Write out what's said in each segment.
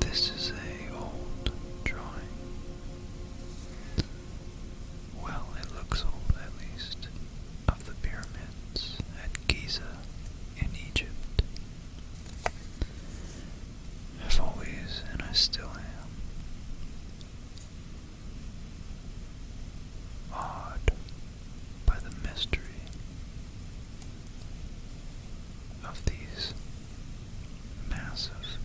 This is a old drawing. Well, it looks old at least, of the pyramids at Giza in Egypt. I've always, and I still am, awed by the mystery of these massive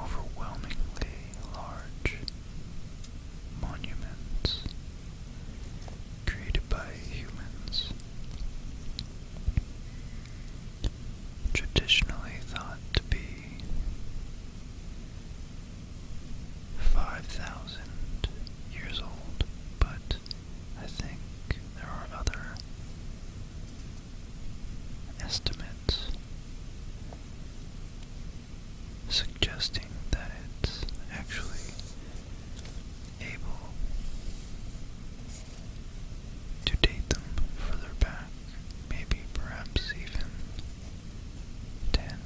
overwhelmingly large monuments created by humans traditionally thought to be 5,000 years old, but I think there are other estimates suggesting that it's actually able to date them further back, maybe perhaps even 10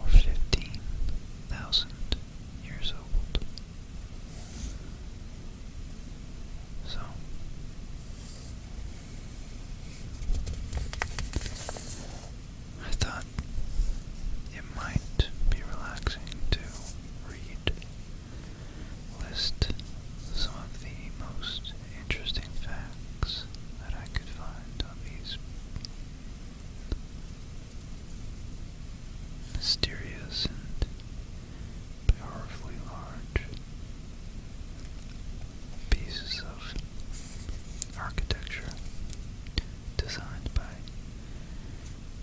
or 15,000 years old. So, I thought it might be relaxing to read, list some of the most interesting facts that I could find on these mysterious and powerfully large pieces of architecture designed by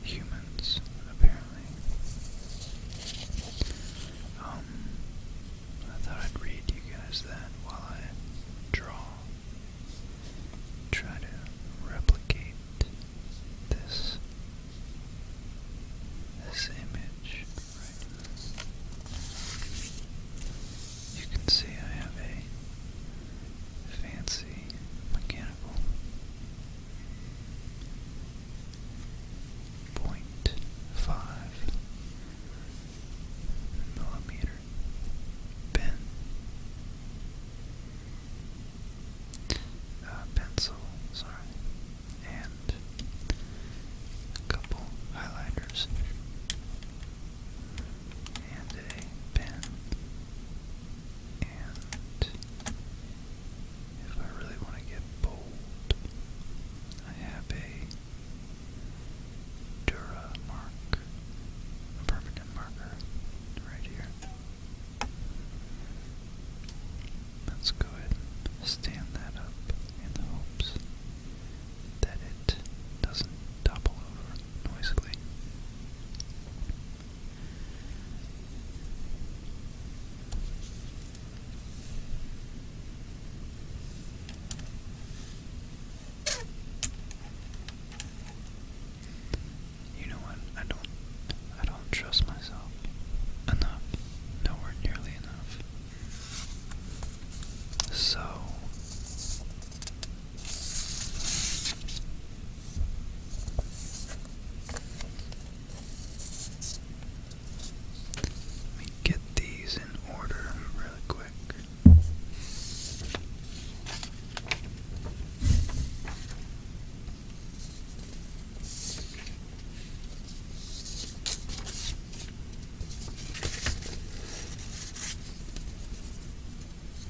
humans, apparently. Um, I thought I'd read you guys that while I draw. Try to replicate this this image right you can see I have a fancy mechanical point five millimeter pen. Uh, pencil, sorry, and a couple highlighters and a pen and if I really want to get bold, I have a Dura mark, a permanent marker, right here. Let's go ahead and stand that up in the hopes that it doesn't topple over noisily. You know what? I don't I don't trust myself enough. Nowhere nearly enough. So let me get these in order really quick.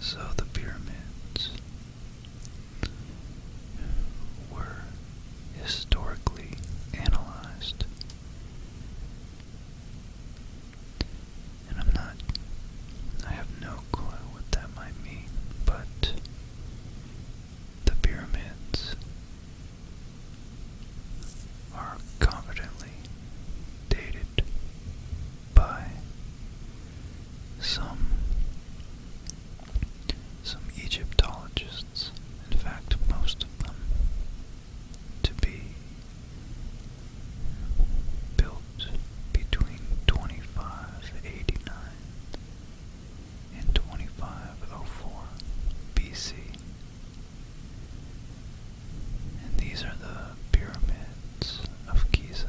So the pyramids were historically analyzed. And I'm not I have no clue what that might mean, but the pyramids are confidently dated by some some Egyptologists, in fact most of them, to be built between 2589 and 2504 BC. And these are the pyramids of Giza.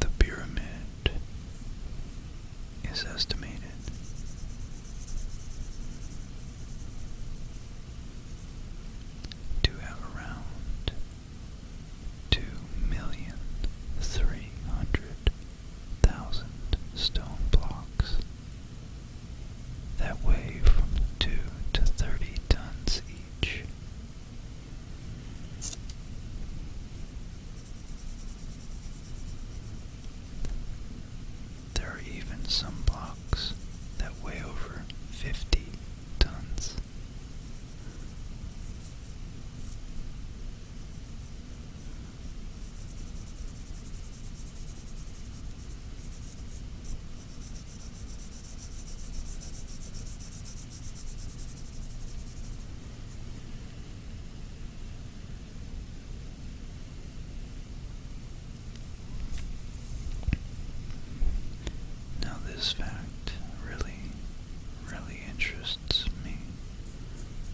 The pyramid is estimated. To have around two million three hundred thousand stone blocks that weigh from two to thirty tons each. There are even some blocks that weigh over 50 tons. Now, this fact really, really interests me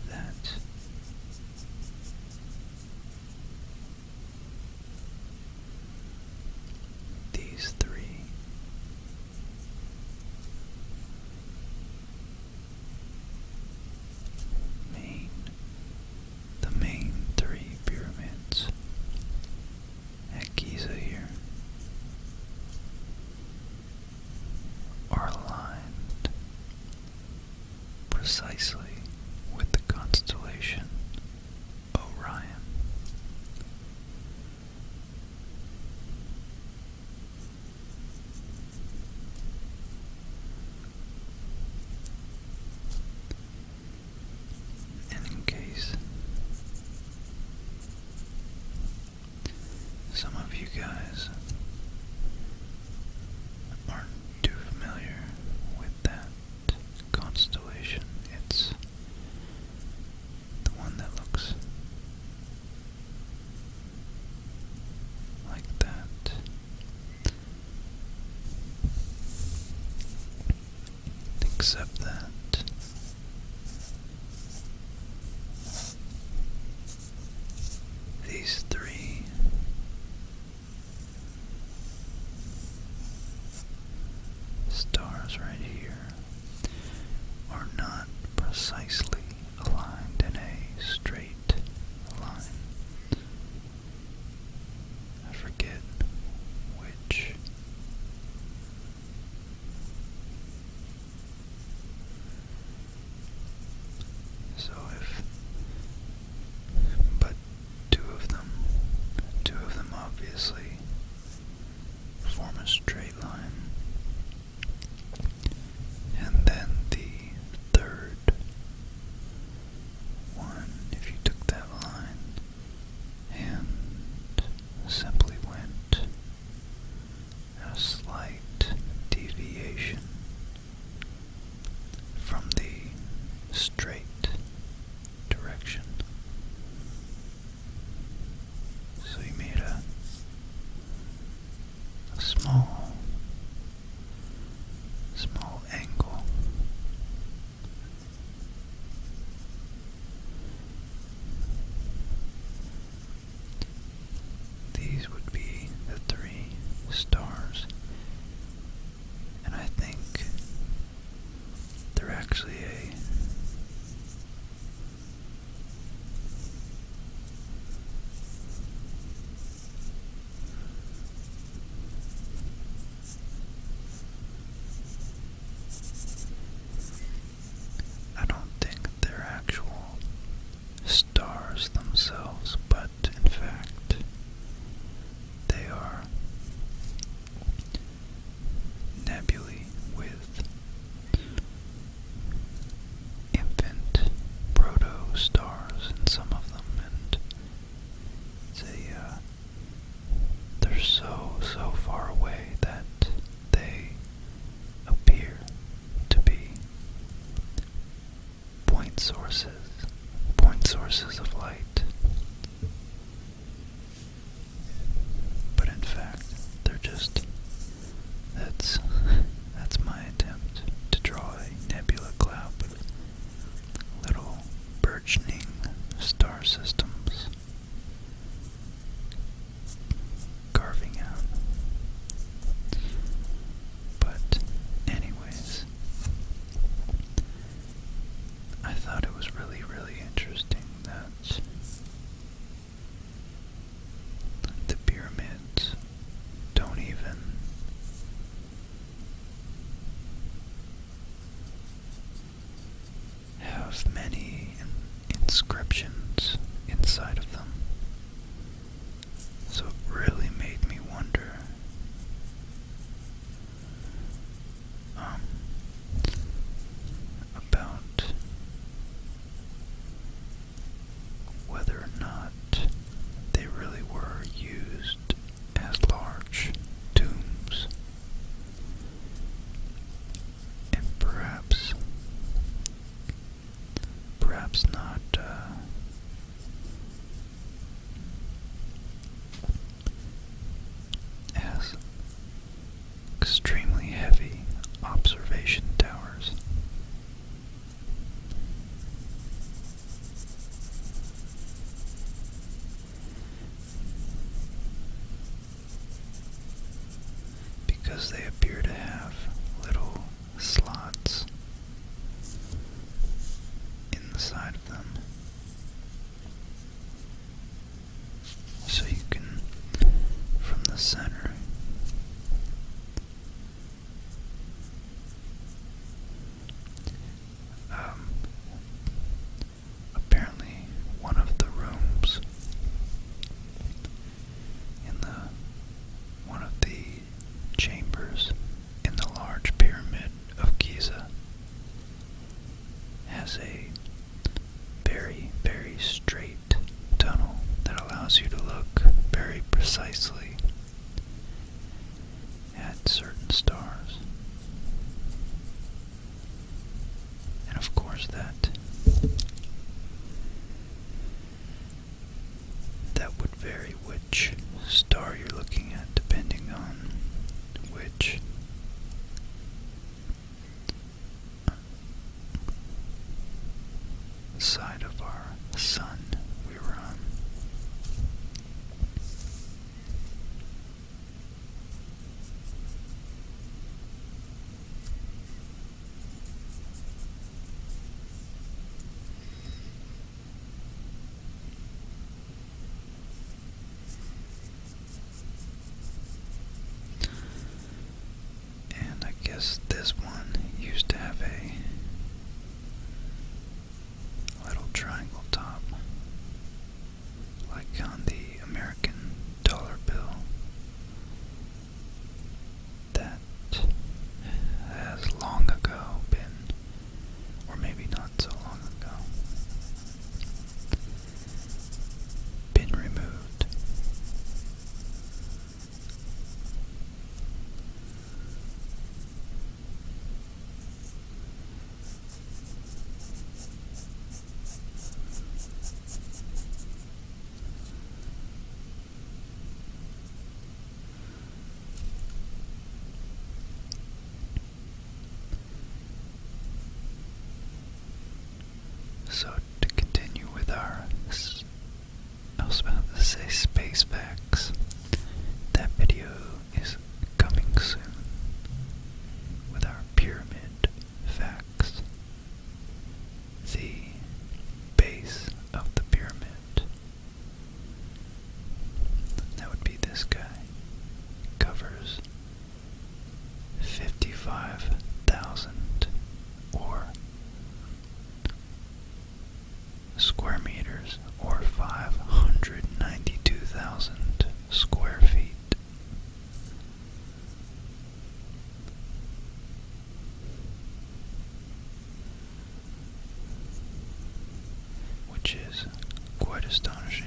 that these three the main three pyramids at Giza here are aligned precisely with the constellation Orion in case some of you guys aren't too familiar with that constellation, it's the one that looks like that. Except that these three stars right here are not precisely aligned in a straight line. I forget which so if but two of them two of them obviously form a straight line and then the third one, if you took that line and simply went a slight deviation from the straight direction. So you made a a small, small angle. These would be the three stars, and I think they're actually a I don't think they're actual stars themselves, but in fact, they are nebulae with infant proto-stars in some of them, and they, uh, they're so, so far away that they appear to be point sources, point sources of light. But in fact, they're just, that's That's my attempt to draw a nebula cloud with little birching star systems carving out. But, anyways, I thought it was really, really interesting that the pyramids don't even. Have many inscriptions inside of them. So it really made me wonder. Um, about whether or not they really were used as large tombs. And perhaps, perhaps not, uh, as extremely heavy observation towers because they appear to have little slots in the side of them. So you can, from the center, um, apparently, one of the rooms in the one of the chambers in the large pyramid of Giza has a very, very straight tunnel that allows you to look very precisely at certain stars. And of course that that would vary which star you're looking at depending on which side of our sun we were on. And I guess this one used to have a little triangle top, like on the American dollar bill, that has long ago been, or maybe not so long ago, been removed. So, to continue with our I was about to say space facts. That video is coming soon with our pyramid facts. The base of the pyramid. That would be this guy. Covers 55,000 or square meters or 592,000 square feet. Which is quite astonishing.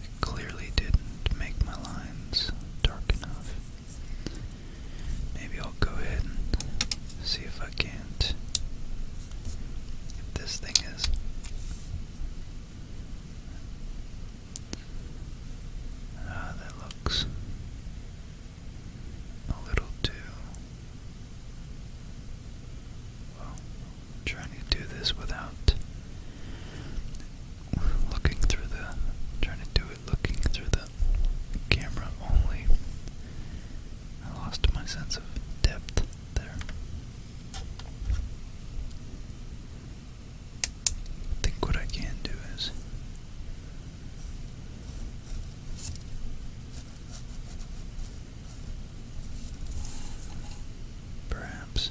I clearly didn't make my lines dark enough. Maybe I'll go ahead and see if I can't. If this thing is. Ah, that looks a little too. Well, trying to do this without looking through the trying to do it looking through the camera only. I lost my sense of depth there. I think what I can do is Perhaps.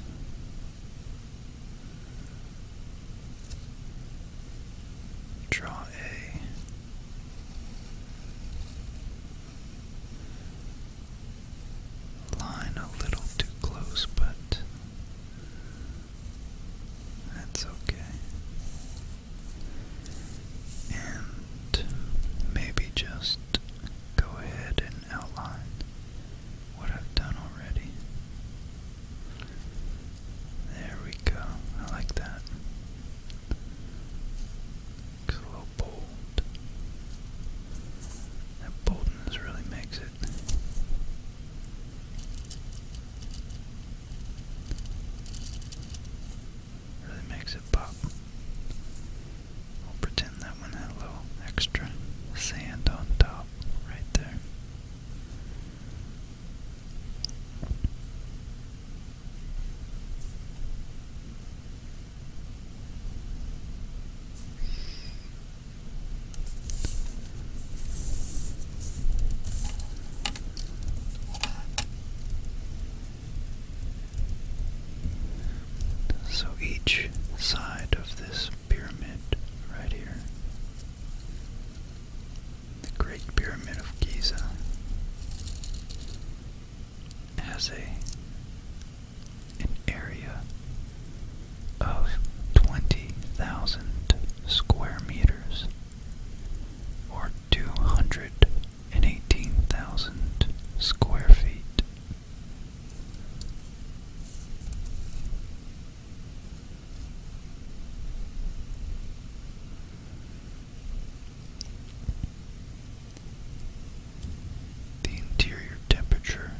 Draw A. Line a little too close, but that's okay. And maybe just go ahead and outline what I've done already. There we go. I like that. Looks a little bold. That boldness really makes it. Really makes it pop. We'll pretend that one had little extra sand on top right there. So each side of this pyramid right here, the Great Pyramid of Giza, has a an area of 20,000 square meters or 200 and eighteen thousand square feet. The interior temperature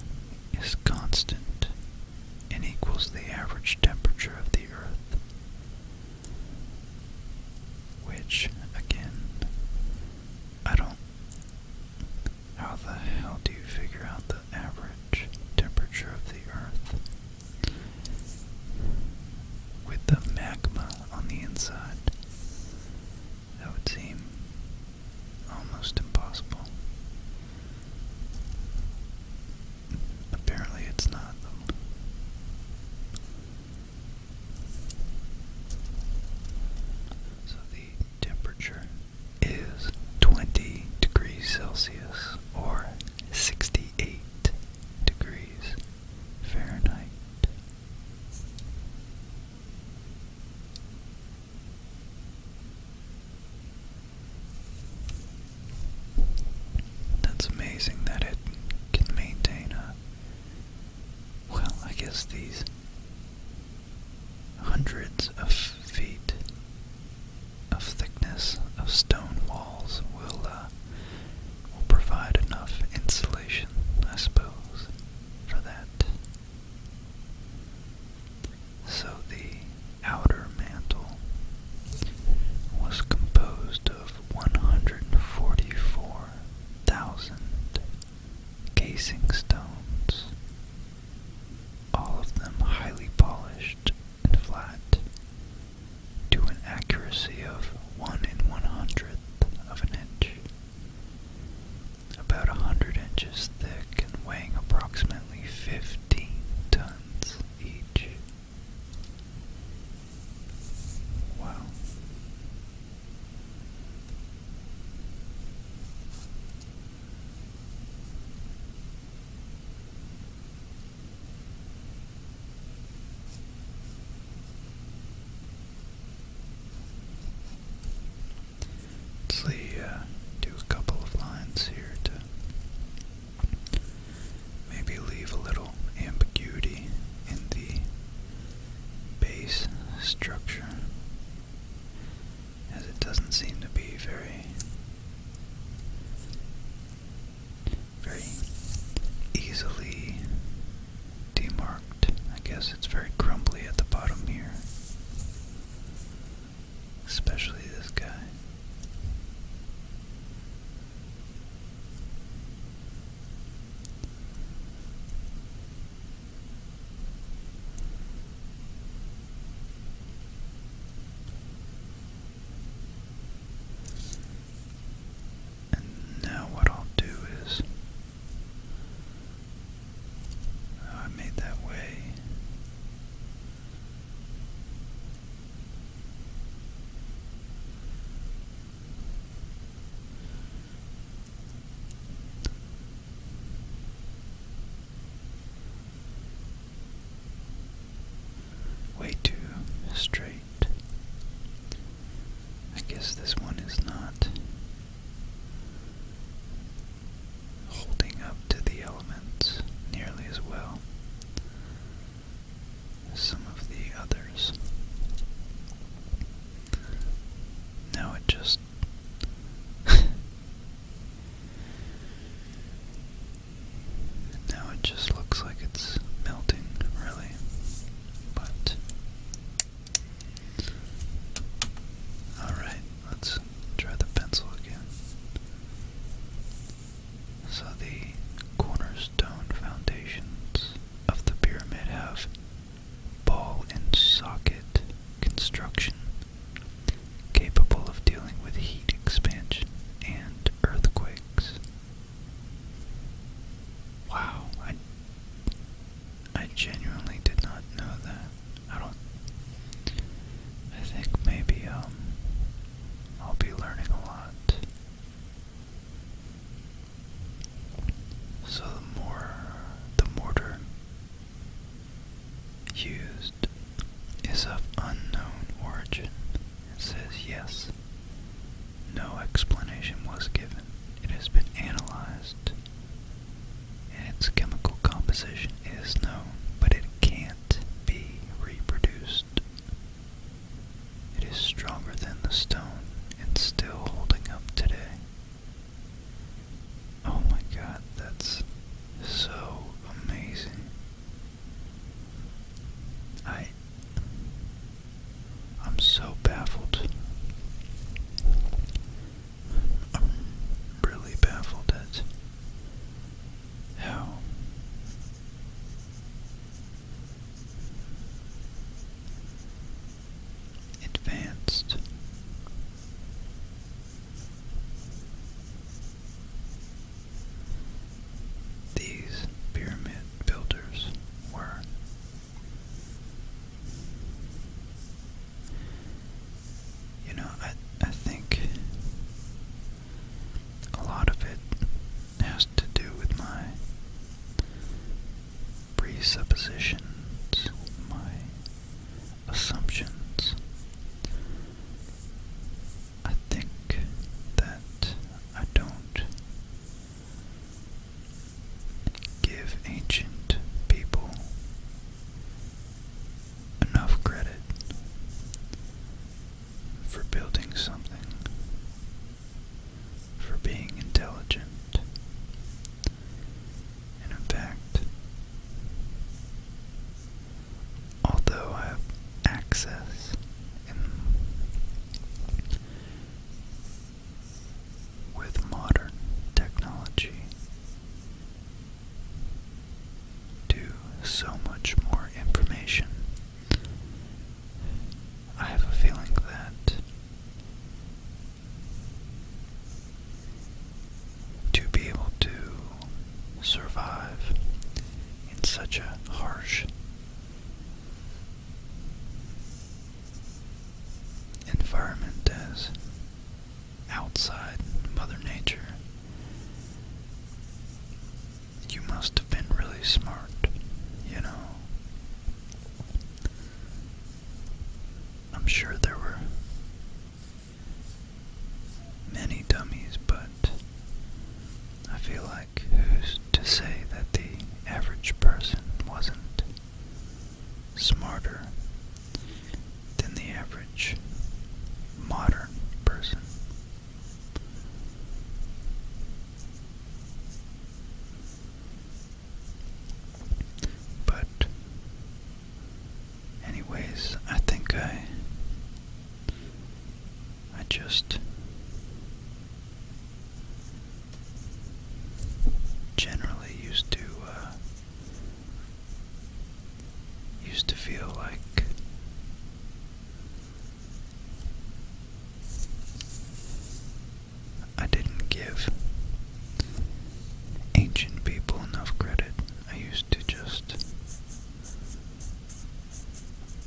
is constant and equals the average temperature of the Earth, which, again, I don't how the hell do you figure out the average temperature of the Earth? With the magma on the inside, that would seem almost impossible. Apparently, it's not, though. So the temperature is 20 degrees Celsius or 68 degrees Fahrenheit. That's amazing that it can maintain a well, I guess these Hundreds of feet of thickness of stone walls will uh, will provide enough insulation, I suppose, for that. So the outer mantle was composed of 144,000 casing stones, all of them highly polished and flat, to an accuracy of 1 in 100th of an inch. About a 100 inches thick and weighing approximately 15 tons each. Wow. Let's see, uh, do a couple of lines here to maybe leave a little ambiguity in the base structure, as it doesn't seem to be very, very easily demarked. I guess it's very crumbly at the bottom here, especially this guy. And now, what I'll do is I made that way. Way too straight. I guess this one is not holding up to the elements nearly as well as some of the others. Now it just. now it just looks like it's melting, really. But. Alright, let's try the pencil again. So the cornerstone foundations of the pyramid have ball and socket construction capable of dealing with heat expansion and earthquakes. Wow, I I genuinely did not know that. I don't I think maybe um I'll be learning a lot so the mortar used is of unknown origin. It says yes. No explanation was given. It has been analyzed. And its chemical composition is known, but it can't be reproduced. It is stronger than the stone and still holding up today. Oh my god, that's so amazing. I I'm so baffled. I'm really baffled at how advanced. These pyramid builders were you know, I I think a lot of it has to do with my presuppositions, my assumptions. I think that I don't give ancient people enough credit for building something, for being intelligent in fact, although I have access with modern technology to so much more information, I have a feeling that to be able to survive in such a harsh environment as outside Mother Nature. You must have been really smart, you know. I'm sure there were many dummies, but I feel like who's to say that the average person wasn't smarter than the average modern person? But, anyways, I think I, I just generally used to, uh, used to feel like I didn't give ancient people enough credit. I used to just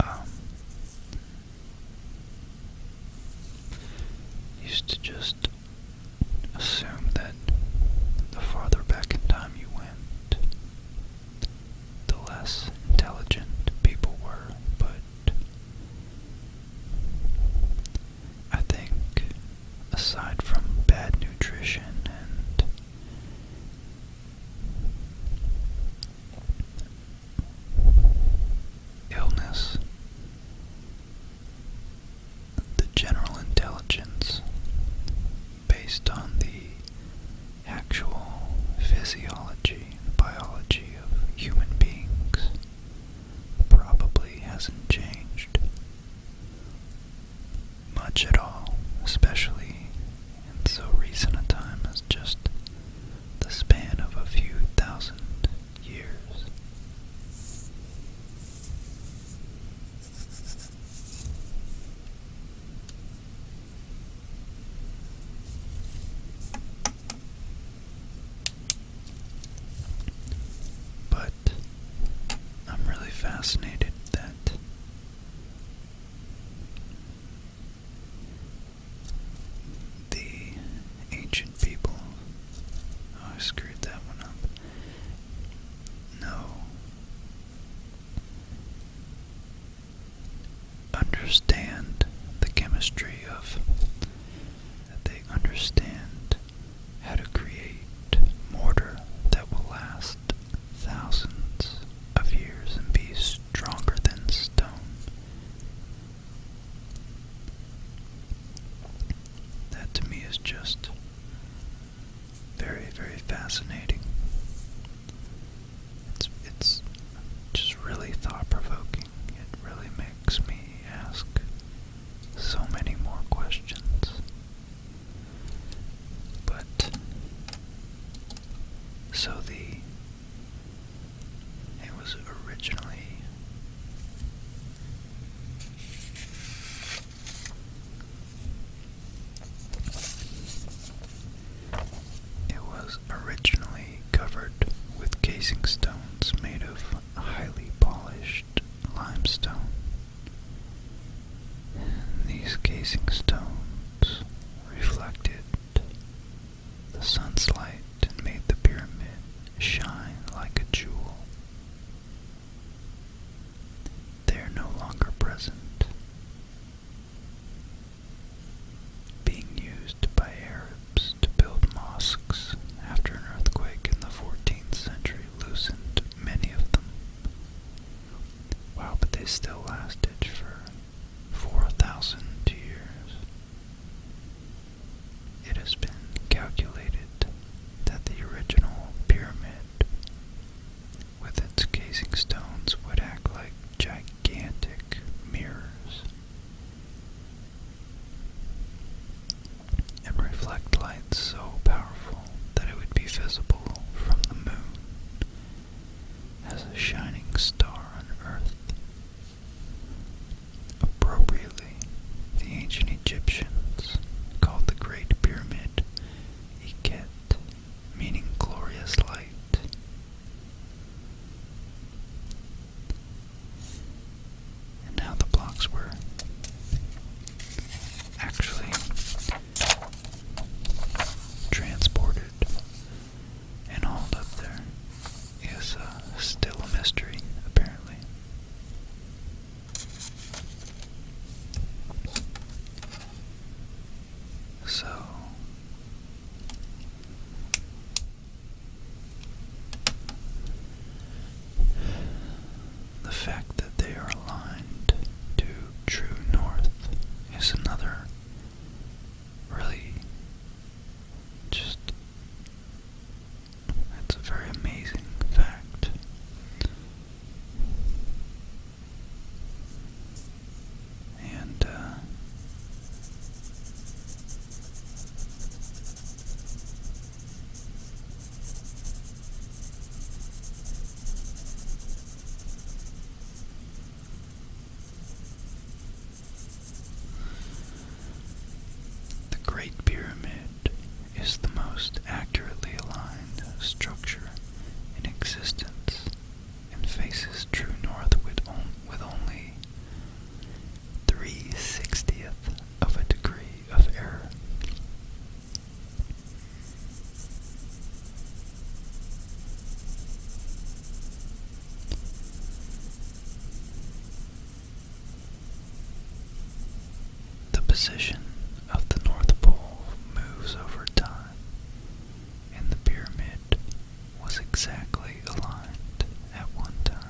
um used to just assume that the farther back in time you went, the less intelligent people were, but I think, aside from bad nutrition and illness, the general intelligence based on the actual physiology and biology of human beings probably hasn't changed much at all, especially in so recent a time as just the span of a few thousand years. But I'm really fascinated that the ancient people. Oh, I screwed that one up. No. Understand the chemistry of. That they understand how to create mortar that will last thousands of years and be stronger than stone. That to me is just very, very fascinating. It's, it's just really thought provoking. It really makes me ask so many more questions. But so the it was originally it was originally covered with casing stones made of highly polished limestone. These casing stones reflected the sun's light and made the pyramid shine like a jewel. They are no longer present, being used by Arabs to build mosques after an earthquake in the 14th century loosened many of them. Wow, but they still lasted for 4,000 years. It has been calculated that the original pyramid with its casing stones would act like gigantic mirrors and reflect light so powerful that it would be visible from the moon as a shining star on earth. Appropriately, the ancient Egyptians called the Great Pyramid Iket, meaning glorious light and how the blocks were actually transported and hauled up there is uh, still a mystery, apparently. So, the fact that they are aligned to true north is another really just it's a very amazing fact. And uh, the Great Pyramid is the most accurately aligned structure in existence and faces true north with, only 3 60th of a degree of error. The position of the North Pole moves over time, and the pyramid was exactly aligned at one time.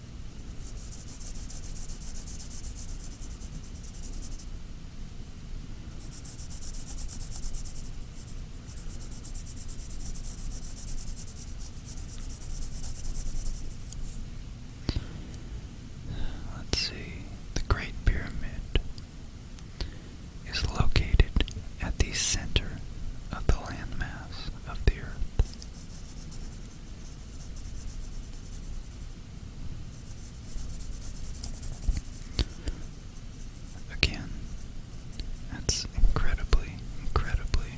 Let's see, the Great Pyramid is located at the center of the landmass of the earth. Again, that's incredibly, incredibly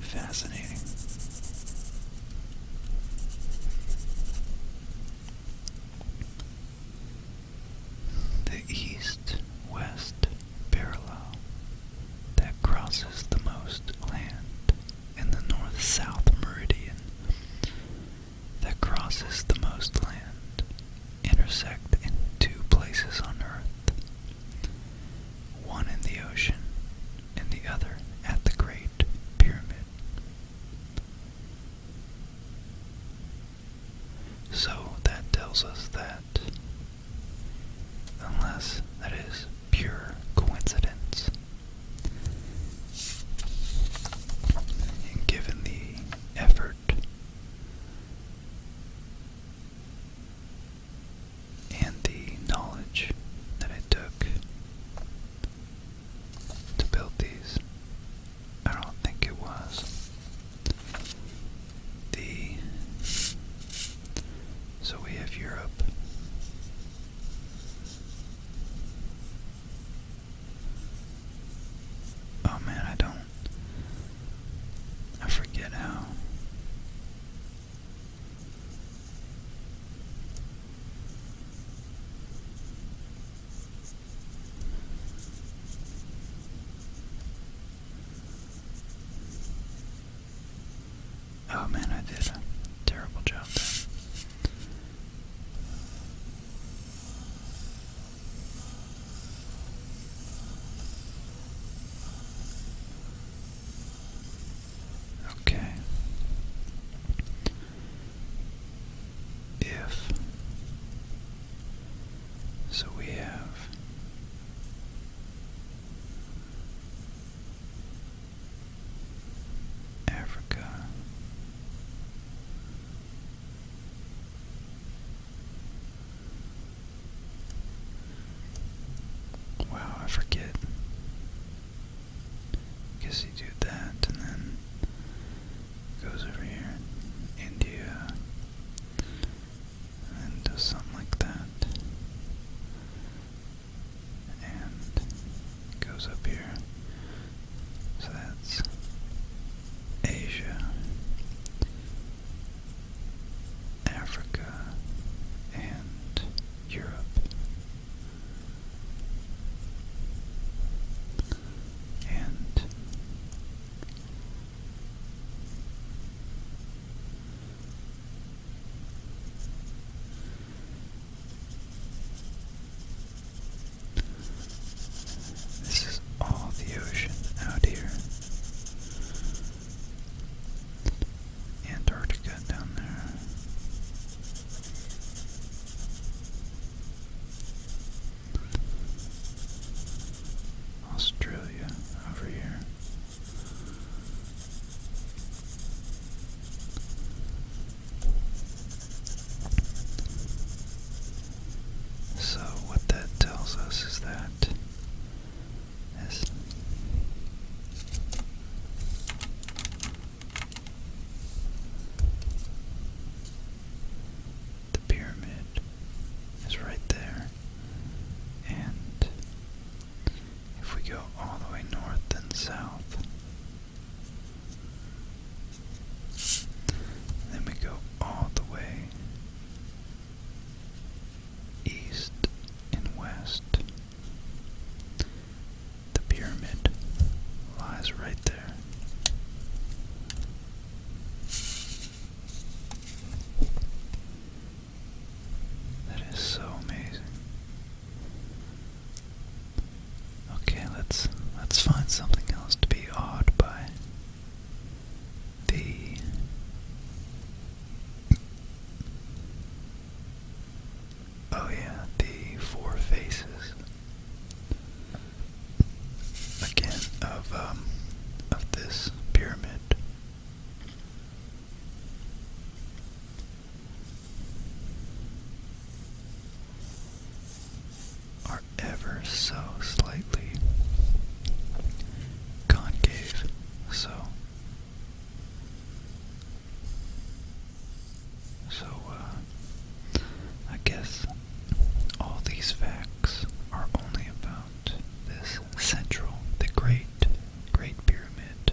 fascinating. The east west parallel that crosses the most land in the north-south meridian that crosses the most land intersect in two places on earth, one in the ocean and the other at the Great Pyramid. So that tells us that, unless, that is, pure coincidence. given the effort and the knowledge that it took to build these, I don't think it was. The so we have Europe Oh man, I don't. I forget how. Oh man, I did a terrible job Okay. If so, we have Africa. Wow, I forget. guess you do that and then goes over here India and does something like that and goes up here. So that's Asia, Africa, and Europe. And this is all the ocean out here. Antarctica down there. Australia over here. So, what that tells us is that the pyramid is right there, and if we go all the way north and south. Then we go all the way east and west. The pyramid lies right there. That is so amazing. Okay, let's let's find something else to be awed by. The Oh yeah, the four faces again of um of this pyramid are ever so slightly concave, so so uh, I guess all these facts are only about this central, the great, great pyramid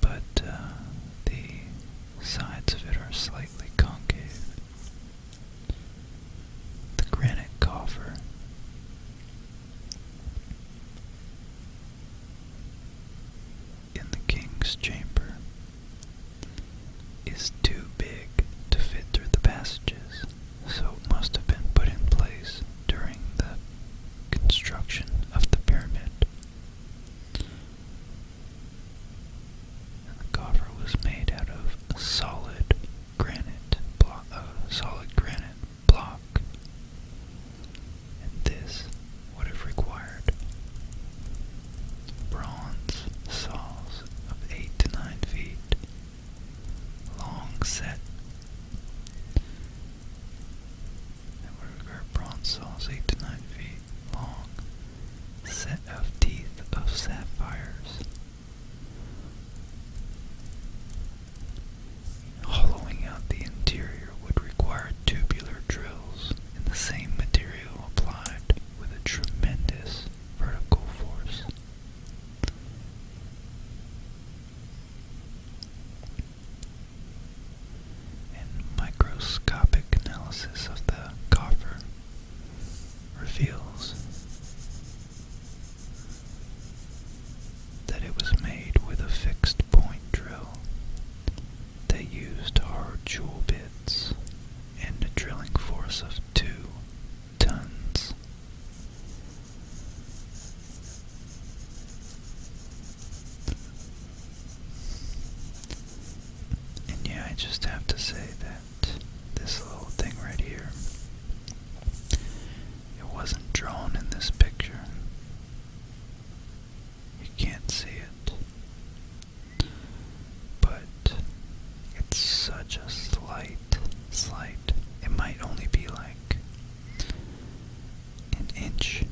but uh, the sides of it are slightly concave. The granite coffer. In the king's chamber is too big to fit through the passages, so it must have been put in place during the construction of the pyramid. The coffer was made out of solid granite block, uh, solid granite block, and this would have required bronze saws of eight to nine feet long set the Ruger bronze saw 8 to 9 feet long, set of teeth of sapphires. Hollowing out the interior would require tubular drills in the same material applied with a tremendous vertical force and microscopic analysis of the coffer reveals that it was made with a fixed point drill They used hard jewel bits and a drilling force of two tons. And yeah, I just have to say that this little thing right here, it wasn't drawn in this picture. You can't see it. But it's such a slight, slight, it might only be like an inch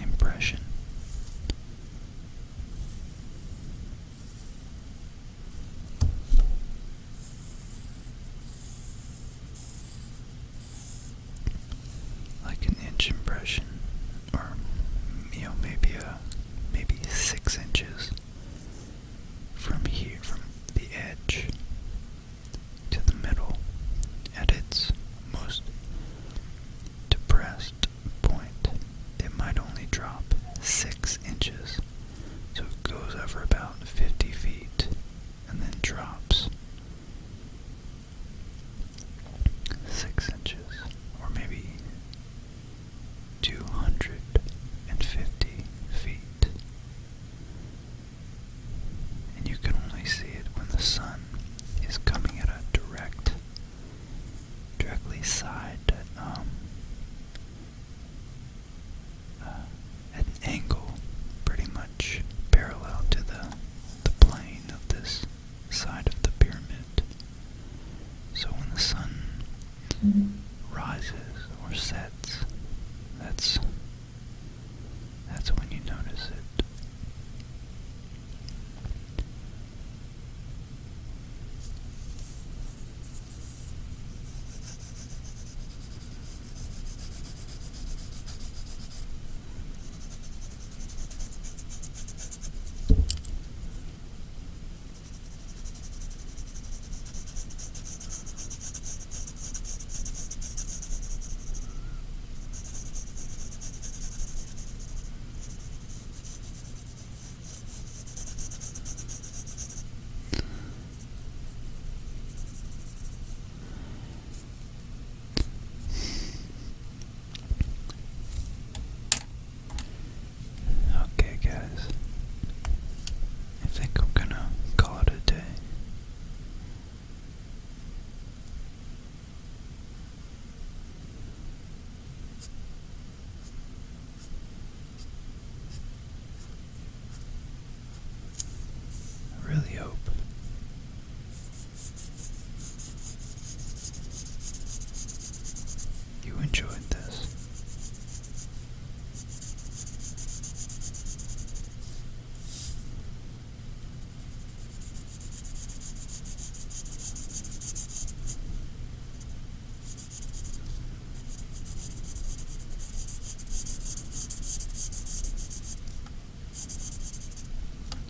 impression. Like an inch impression, or you know, maybe a maybe six inches from here, from the edge to the middle at its most depressed point. It might only drop six inches, so it goes over about 50 feet and then drops six inches, or maybe 250 feet and you can only see it when the sun is coming at a direct, directly side, at um, uh, an angle pretty much parallel to the, the plane of this side of the pyramid. So when the sun rises or sets, that's that's when you notice it. Okay, guys, I think I'm gonna call it a day. I really hope you enjoyed this.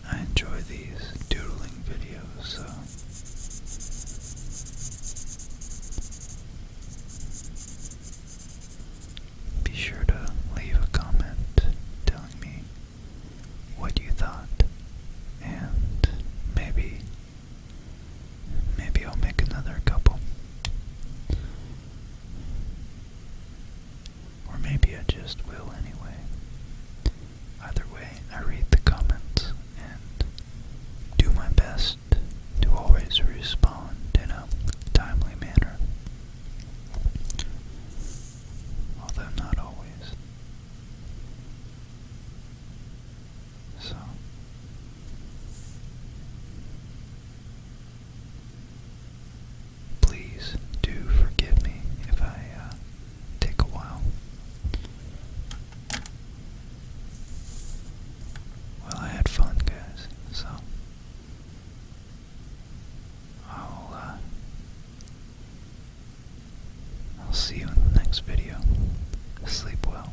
I enjoy these doodling videos, be sure to leave a comment telling me what you thought, and maybe, maybe I'll make another couple. Or maybe I just will anyway. Either way, I read the comments and do my best to always respond in a timely manner although not always. So, please do forgive me if I uh, take a while. Well, I had fun, guys, so I'll, uh, I'll see you in the next video. Sleep well.